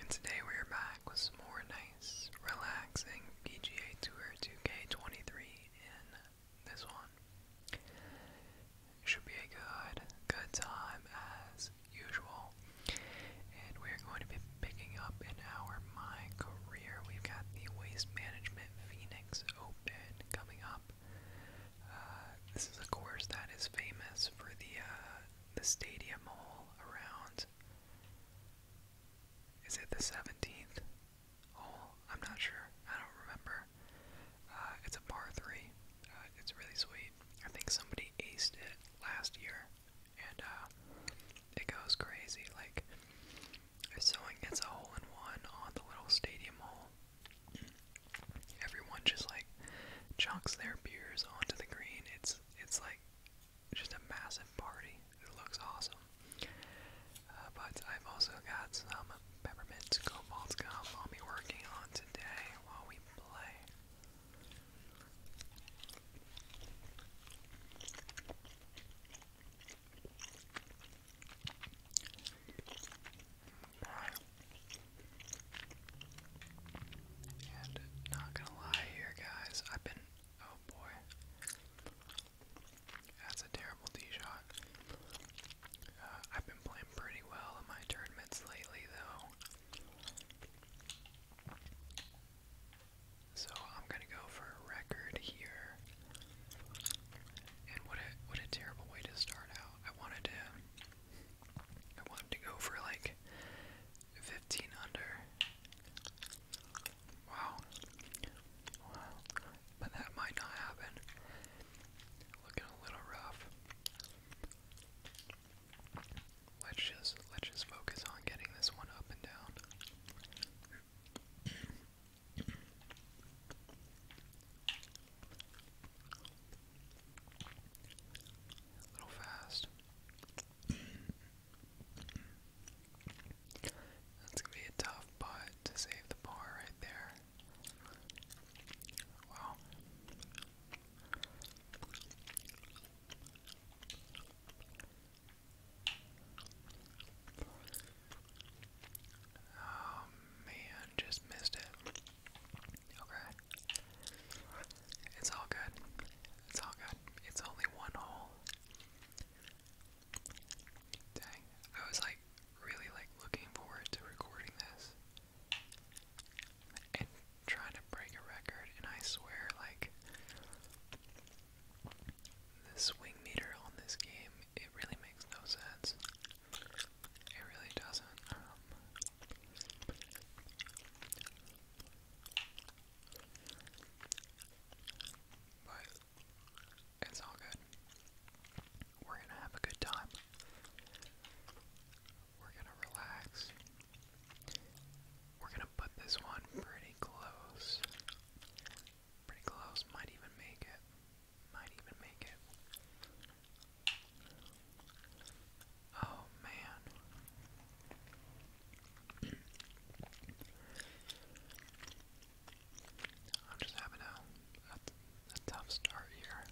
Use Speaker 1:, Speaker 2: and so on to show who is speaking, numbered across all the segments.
Speaker 1: And today we are back with some more nice, relaxing PGA Tour 2K23 in this one. Should be a good, good time as usual. And we are going to be picking up in our My Career. We've got the Waste Management Phoenix Open coming up. Uh, this is a course that is famous for the uh, the stadium all around. Is it the 17th? Oh, I'm not sure. I don't remember. Uh, it's a par three. Uh, it's really sweet. I think somebody aced it last year, and uh, it goes crazy. Like, if someone gets a hole in one on the little stadium hole, everyone just like chunks their beers onto the green. It's it's like just a massive party. It looks awesome. Uh, but I've also got some peppermint cobalt gum I'll be working on today while we play not gonna lie here, guys, I've been. Oh boy. That's a terrible D shot. Uh, I've been playing pretty well in my tournaments lately, though. So I'm gonna go for a record here. And what a what a terrible way to start out. I wanted to I wanted to go for like 15 under. Wow. Wow. But that might not happen. Looking a little rough. Let's just let's just focus on getting this one up and down. A little fast. That's gonna be a tough putt to save the par right there. Wow. Oh, man, just missed it. Okay. It's all good. It's all good. It's only one hole. Dang. I was like really like looking forward to recording this and trying to break a record and I swear like the swing meter on this game it really makes no sense. It really doesn't. Um, but it's all good. We're gonna have a good time. We're gonna relax. We're gonna put this one pretty close. Pretty close. Might even make it. Might even make it. Oh man. I'm just having a, a, tough start here.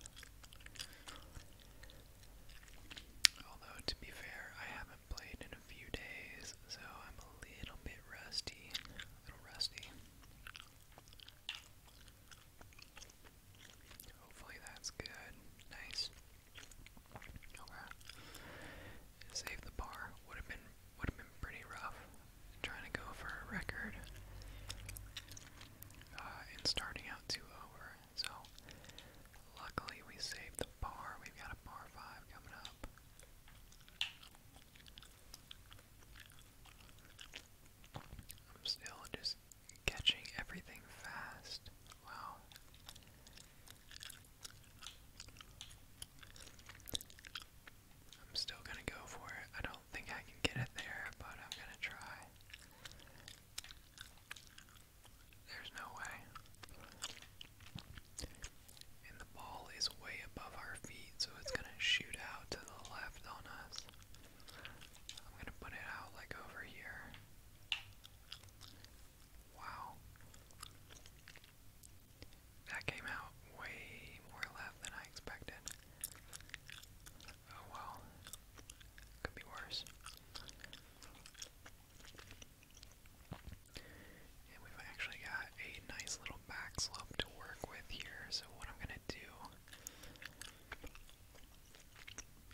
Speaker 1: Although, to be fair, I haven't played in a few days, so I'm a little bit rusty. little rusty. Hopefully that's good. Nice. Homer saved the bar. Would have been would have been pretty rough trying to go for a record uh, and starting out two over. So luckily we saved the bar. We've got a bar five coming up. I'm still just Catching everything fast. Wow. I'm still gonna go for it. I don't think I can get it there, but I'm gonna try. There's no way. And the ball is way above our feet, so it's gonna shoot out to the left on us. I'm gonna put it out like over here. Wow. That came out way more left than I expected. Oh well. Could be worse. And we've actually got a nice little back slope to work with here, so what I'm gonna do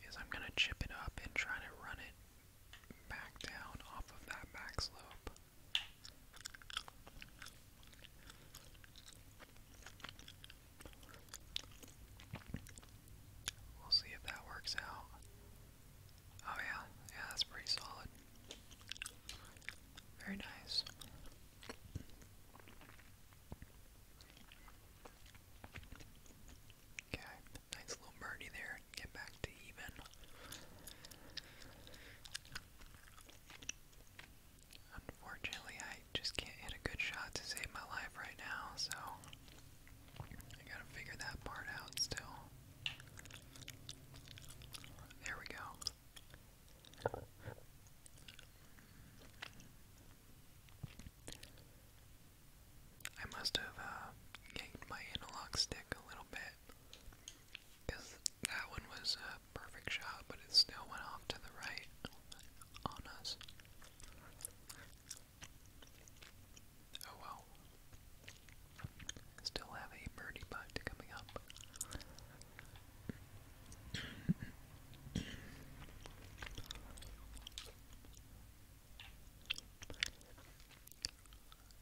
Speaker 1: is I'm going to chip it up and try to run it back down off of that back slope. We'll see if that works out. Oh yeah, yeah, that's pretty solid. Very nice. Okay, nice little birdie there. Get back to even. Unfortunately, I just can't hit a good shot to save my life right now, so I gotta figure that part out still. There we go. I must have uh, my analog stick a little bit. Because that one was a perfect shot, but it still went off to the right on us. Oh well. Still have a birdie putt coming up.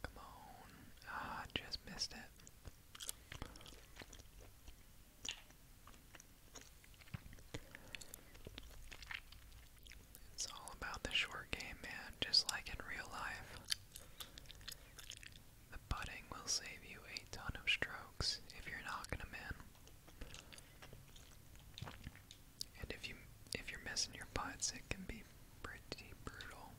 Speaker 1: Come on. Ah, just missed it. It's all about the short game, man, just like in real life. The putting will save you a ton of strokes if you're knocking them in. And if you if you're messing your pots, it can be pretty brutal.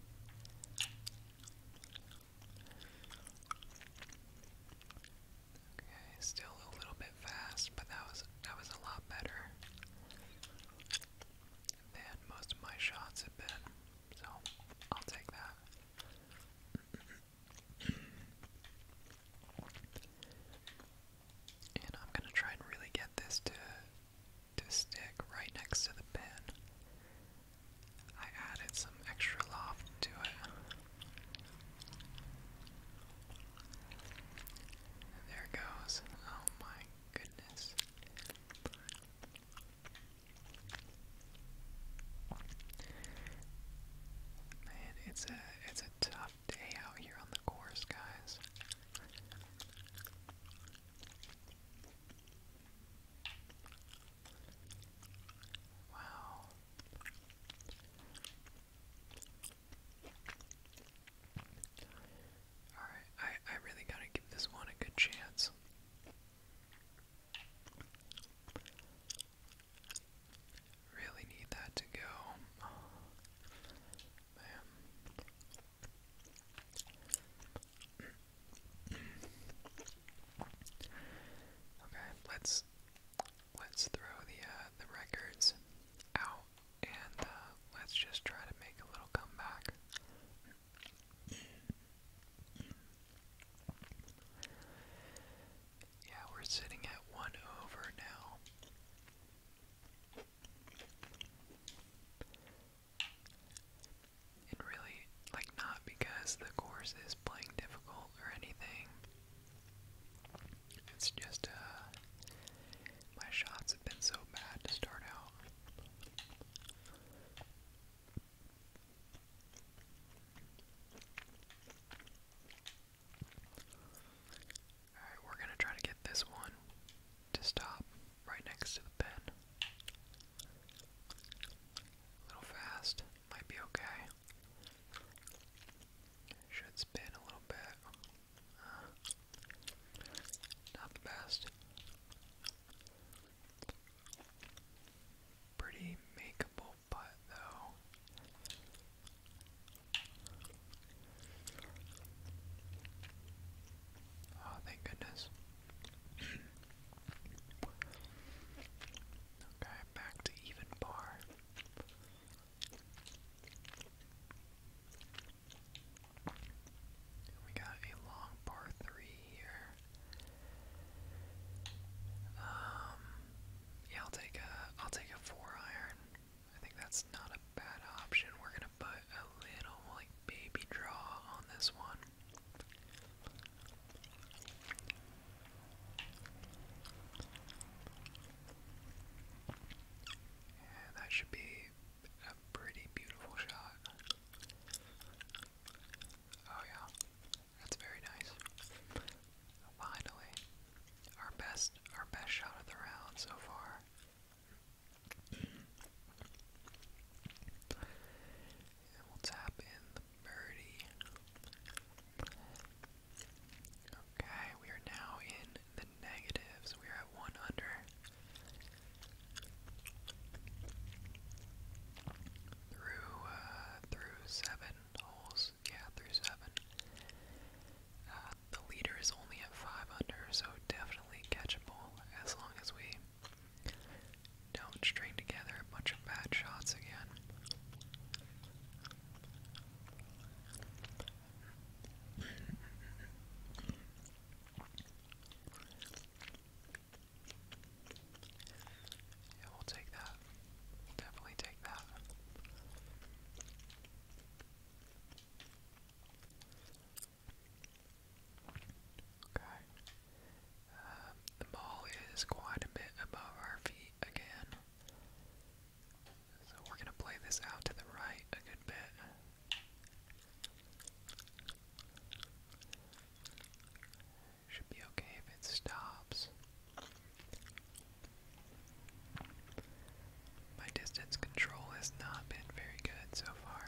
Speaker 1: Okay, still a little bit fast, but that was that was a lot better than most of my shots have been. So I'll take that. And I'm gonna try and really get this to to stick right next to the pen. I added some extra loft to it. There it goes. Oh my goodness. Man, it's a it's a tough day out here on the course, guys. Wow. Alright, I, I really gotta give this one a good chance. Really need that to go. man. okay, let's let's throw the uh, the records out and uh, let's just try to make a little comeback. Yeah, we're sitting at one over now. And really, like, not because the course is playing difficult or anything. It's just, uh, my shots have been so bad to start out. Alright, we're gonna try to get this one to stop right next to the pen. A little fast, might be okay. Should spin a little bit. Uh, not the best. Pretty makeable but though. Oh, thank goodness. okay, back to even par. We got a long par three here. Um, yeah, I'll take a I'll take a four iron. I think that's not a bad option. We're gonna put a little like baby draw on this one. And that should be a pretty beautiful shot. Oh yeah, that's very nice. Finally, our best our best shot of the round so far. we'll tap in the birdie. Okay, we are now in the negatives. We are at one under. Through uh, through seven holes yeah, through seven. Uh, the leader is only at five under, so definitely catchable as long as we don't string together a bunch of bad shots again. Yeah, we'll take that. definitely take that. Okay. Um, the ball is quite a bit above our feet again. So we're going to play this out to the right a good bit. Should be okay if it stops. My distance control has not been very good so far.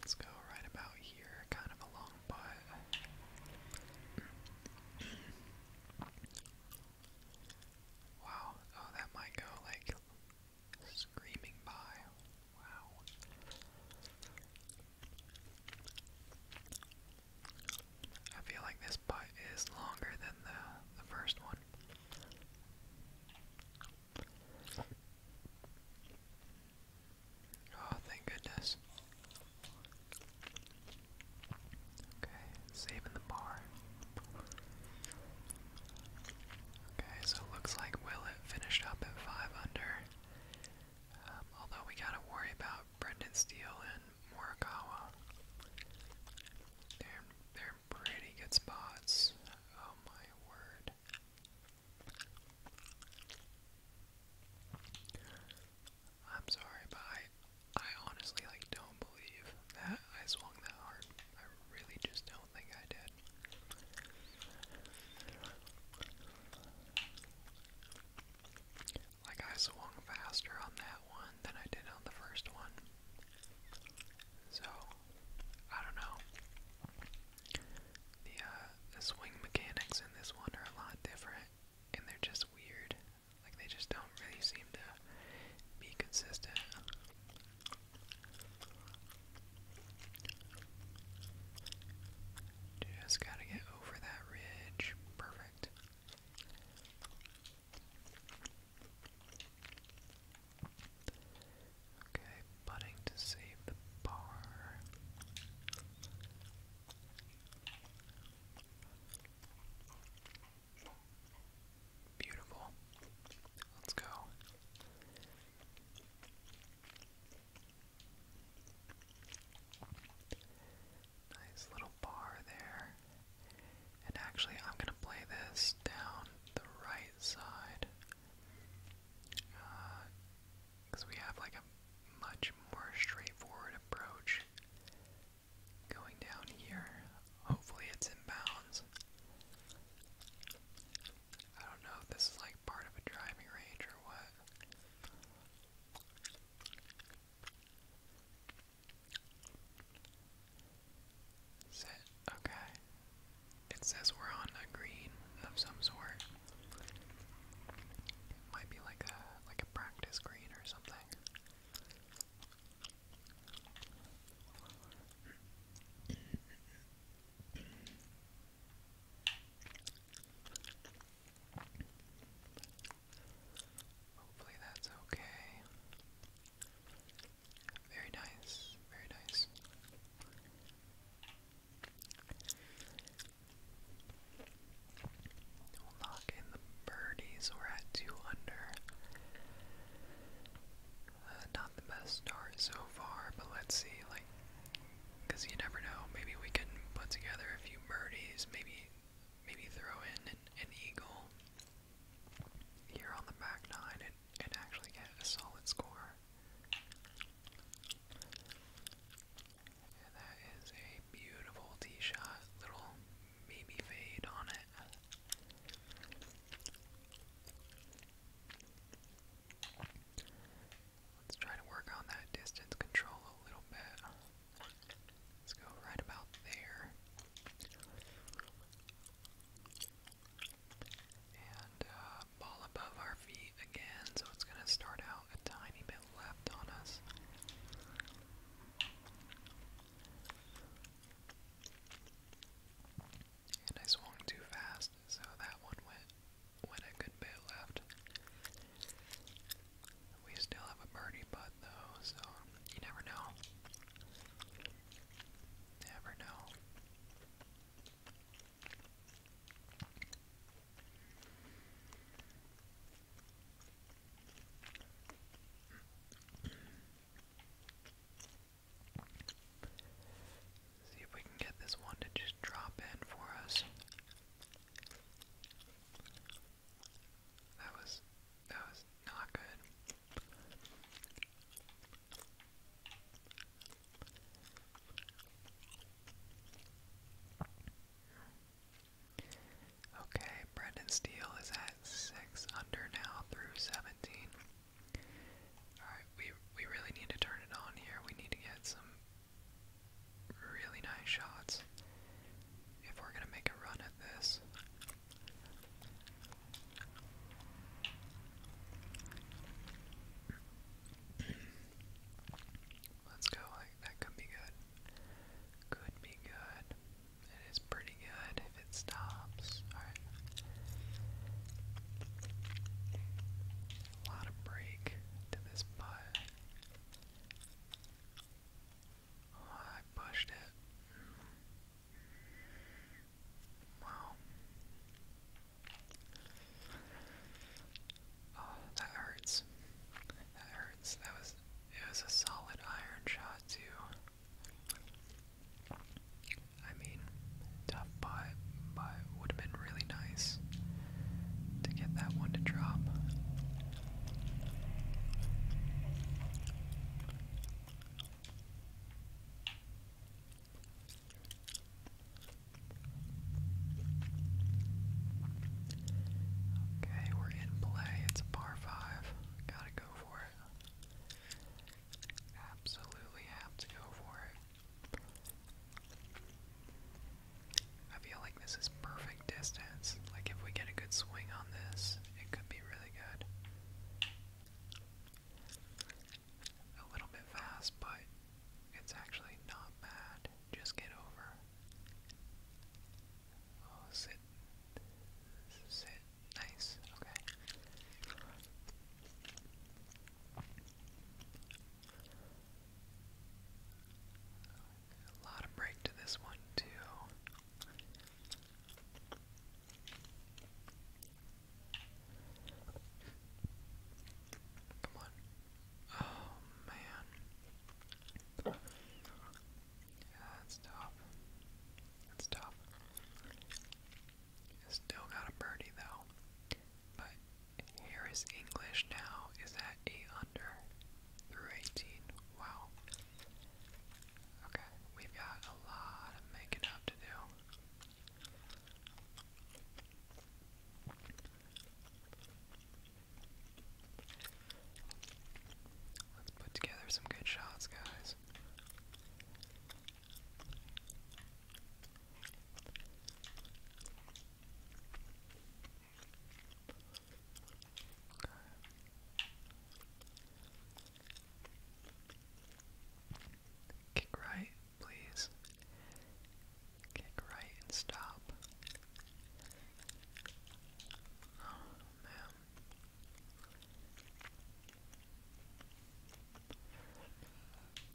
Speaker 1: Let's go right about here, kind of a long wow, oh, that might go like screaming by. I feel like this putt is longer than the the first one. Oh, thank goodness. Okay, saving the bar. Okay, so looks like Willett finished up at 5 under. Um, although we gotta worry about Brendan Steele and Morikawa. They're, they're pretty good spots. Oh my word. I'm sorry, but I, I honestly like don't believe that I swung that hard. I really just don't think I did. Like, I swung faster on that one than I did on the first one. So, I don't know. Uh, the, swing mechanics in this one are a lot different, and they're just weird. Like, they just don't really seem to be consistent. Just gotta get over that ridge. Perfect. Okay, putting to save the bar. Beautiful. Let's go. Nice little bar there. And actually, I'm going to play this down the right side. Because uh, we have like a much more straightforward approach going down here. Hopefully, it's in bounds. I don't know if this is like part of a driving range or what. Set, okay. It says we're on a green of some sort. might be like a like a practice green or something. Hopefully that's okay. Very nice, very nice. We'll knock in the birdies. We're at two under. Uh, not the best start so far, but let's see. Like because you never know. Maybe we can put together a few birdies. Maybe, maybe throw in an, eagle here on the back nine and, and actually get a solid score. And that is a beautiful tee shot. Little baby fade on it. Let's try to work on that distance control a little bit. Let's go right about there. And uh, ball above our feet again, so it's going to start out a tiny bit left on us. And I swung too fast, so that one went with a good bit left. We still have a birdie putt though, so you never know. Never know. See if we can get this one to just drop in for us. That was that was not good. Okay, Brendan Steele is at six under now through seventeen. Alright, we we really need to turn it on here. We need to get some really nice shots if we're going to make a run at this. Let's go. that could be good. Could be good. It is pretty good if it stops. Alright. A lot of break to this putt. Oh, I pushed it. Wow. Oh, that hurts. That hurts. That was it was a solid iron shot too. I mean tough putt, but would have been really nice to get that one to drop. Okay, we're in play. It's a par five. Gotta go for it. Absolutely have to go for it. I feel like this is perfect distance. Like, if we get a good swing on this, it could be really good. A little bit fast, but it's actually not bad. Just get over. Oh, sit. Sit. Nice. Okay. A lot of break to this one, too. Come on. Oh, man. Yeah, that's tough. That's tough. Still got a birdie, though. But here is English now is at 8 under through 18. Wow. Okay, we've got a lot of making up to do. Let's put together some good shots, guys. Okay. Kick right, please. Kick right and stop. Oh, man.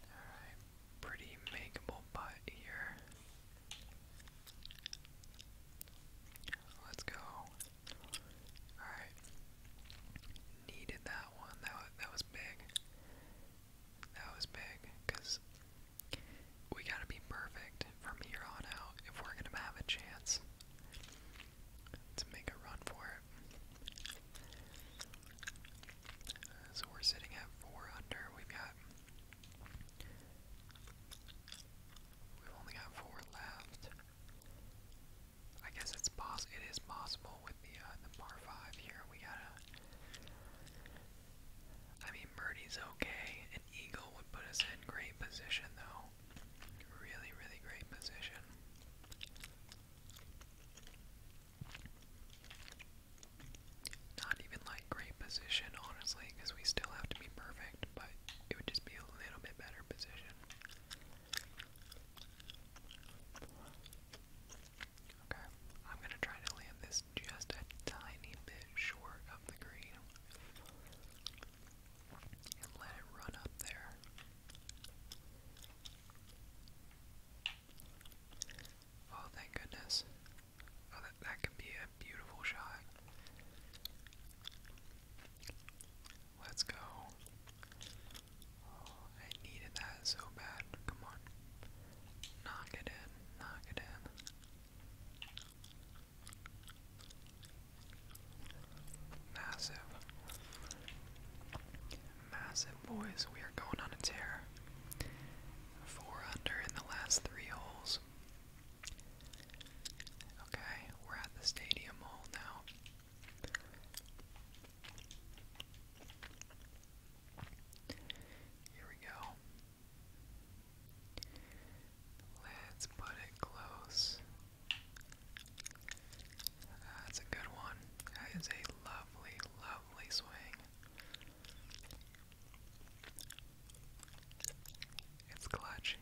Speaker 1: Alright, pretty makeable putt here. Let's go. Alright. Needed that one. That that was big. That was big, because we gotta be perfect from here on out if we're gonna have a chance to make a run for it. So we're sitting at four under. We've got we've only got four left. I guess it's pos it is possible with the uh, the par five here. We gotta. I mean, Birdie's okay. An eagle would put us in great position though. Really, really great position. Not even like great position, honestly, because we still have to be perfect, but it would just be a little bit better position. Okay, I'm gonna try to land this just a tiny bit short of the green and let it run up there. Oh, thank goodness. Oh, that, can be a beautiful shot. Let's go. Oh, I needed that so bad. Come on. Knock it in. Knock it in. Massive massive, boys. We are going on a tear. Four under in the last three holes. Okay, we're at the stadium hole now. Here we go. Let's put it close. That's a good one. That is a lovely, lovely swing. It's clutch.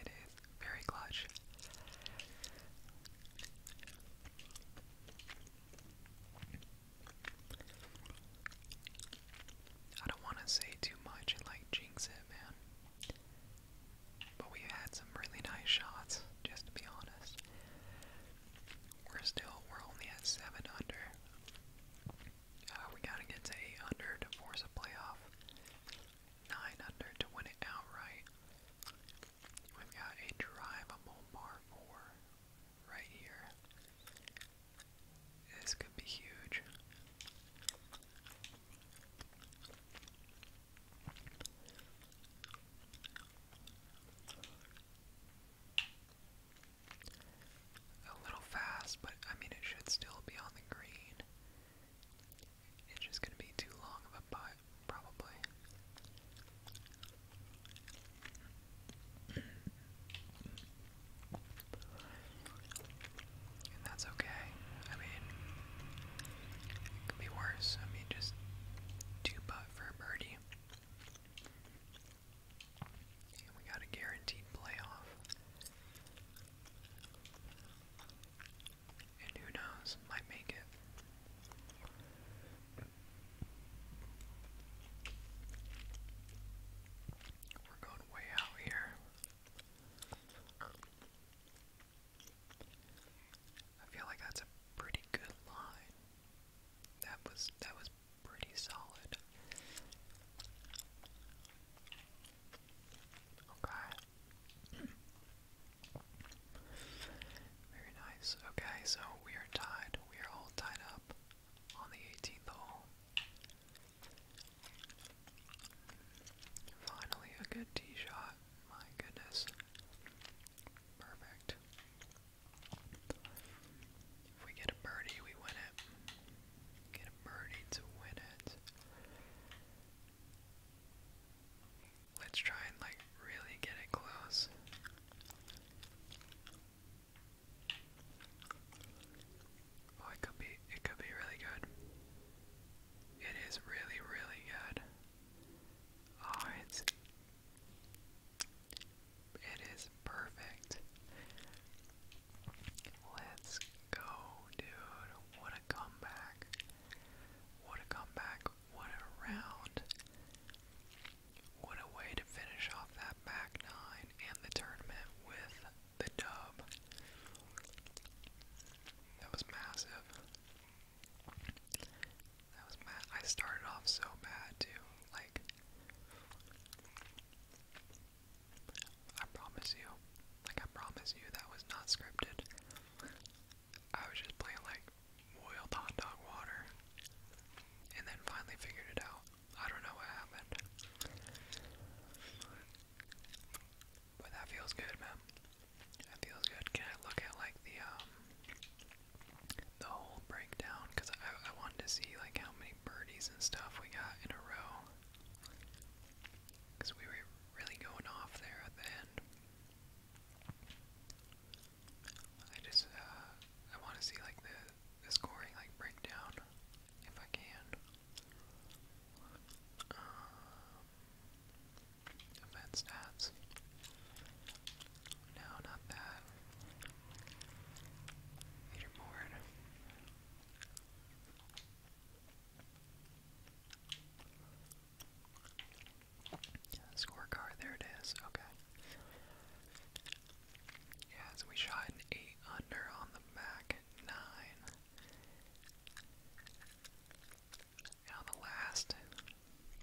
Speaker 1: It is very clutch. I don't want to say too much and like jinx it, man. But we had some really nice shots, just to be honest we're still we're only at seven under. Uh, we gotta get to eight hundred under to force a playoff. Nine under to win it outright. We've got a drivable par four right here. This could be huge. A little fast, but I mean, it should still be on the green. It's just going to be too long of a putt, probably. And that's okay. I mean, it could be worse. I mean, just two putt for birdie. And we got a guaranteed playoff. And who knows, might make it. We're going way out here. I feel like that's a pretty good line. That was that was pretty solid. Okay. Very nice. Okay, so we are tied. We are all tied up on the 18th hole. Finally, a good tee shot. My goodness. Perfect. If we get a birdie, we win it. Get a birdie to win it. Let's try and like really get it close. Oh, it could be it could be really good. It is really, really good. Oh, it's it is perfect. Let's go, dude. What a comeback. What a comeback. What a round. What a way to finish off that back nine and the tournament with the dub. That was massive. That was mad. I started off so bad too. Like, I promise you, like I promise you, that was not scripted. I was just playing like boiled hot dog water, and then finally figured it out. I don't know what happened, but that feels good, man. That feels good. Can I look at like the um? the whole breakdown because I, I wanted to see like how many birdies and stuff we got in a row because we were really going off there at the end. I just uh, I want to see like the the scoring like breakdown if I can. Um, event stats. No, not that. Scorecard, there it is, okay. Yeah, we shot 8 under on the back 9. And the last,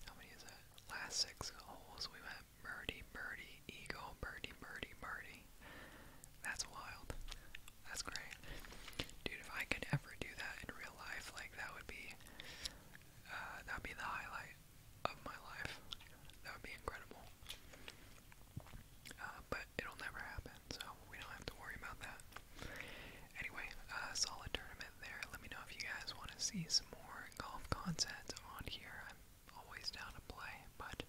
Speaker 1: how many is that? Last 6 holes we went Birdie, birdie, eagle, birdie, birdie, birdie. That's wild. That's great. Dude, if I could ever do that in real life, like that would be uh, that would be the highlight of my life. That would be incredible. Uh, but it'll never happen, so we don't have to worry about that. Anyway, uh, solid tournament there. Let me know if you guys want to see some more golf concepts on here. I'm always down to play, but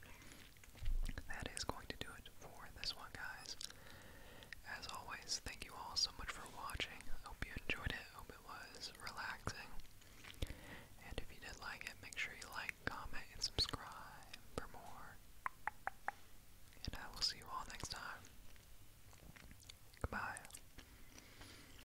Speaker 1: that is going to do it for this one, guys. As always, thank you all so much for watching. hope you enjoyed it. hope it was relaxing. And if you did like it, make sure you like, comment, and subscribe for more. And I will see you all next time. Goodbye.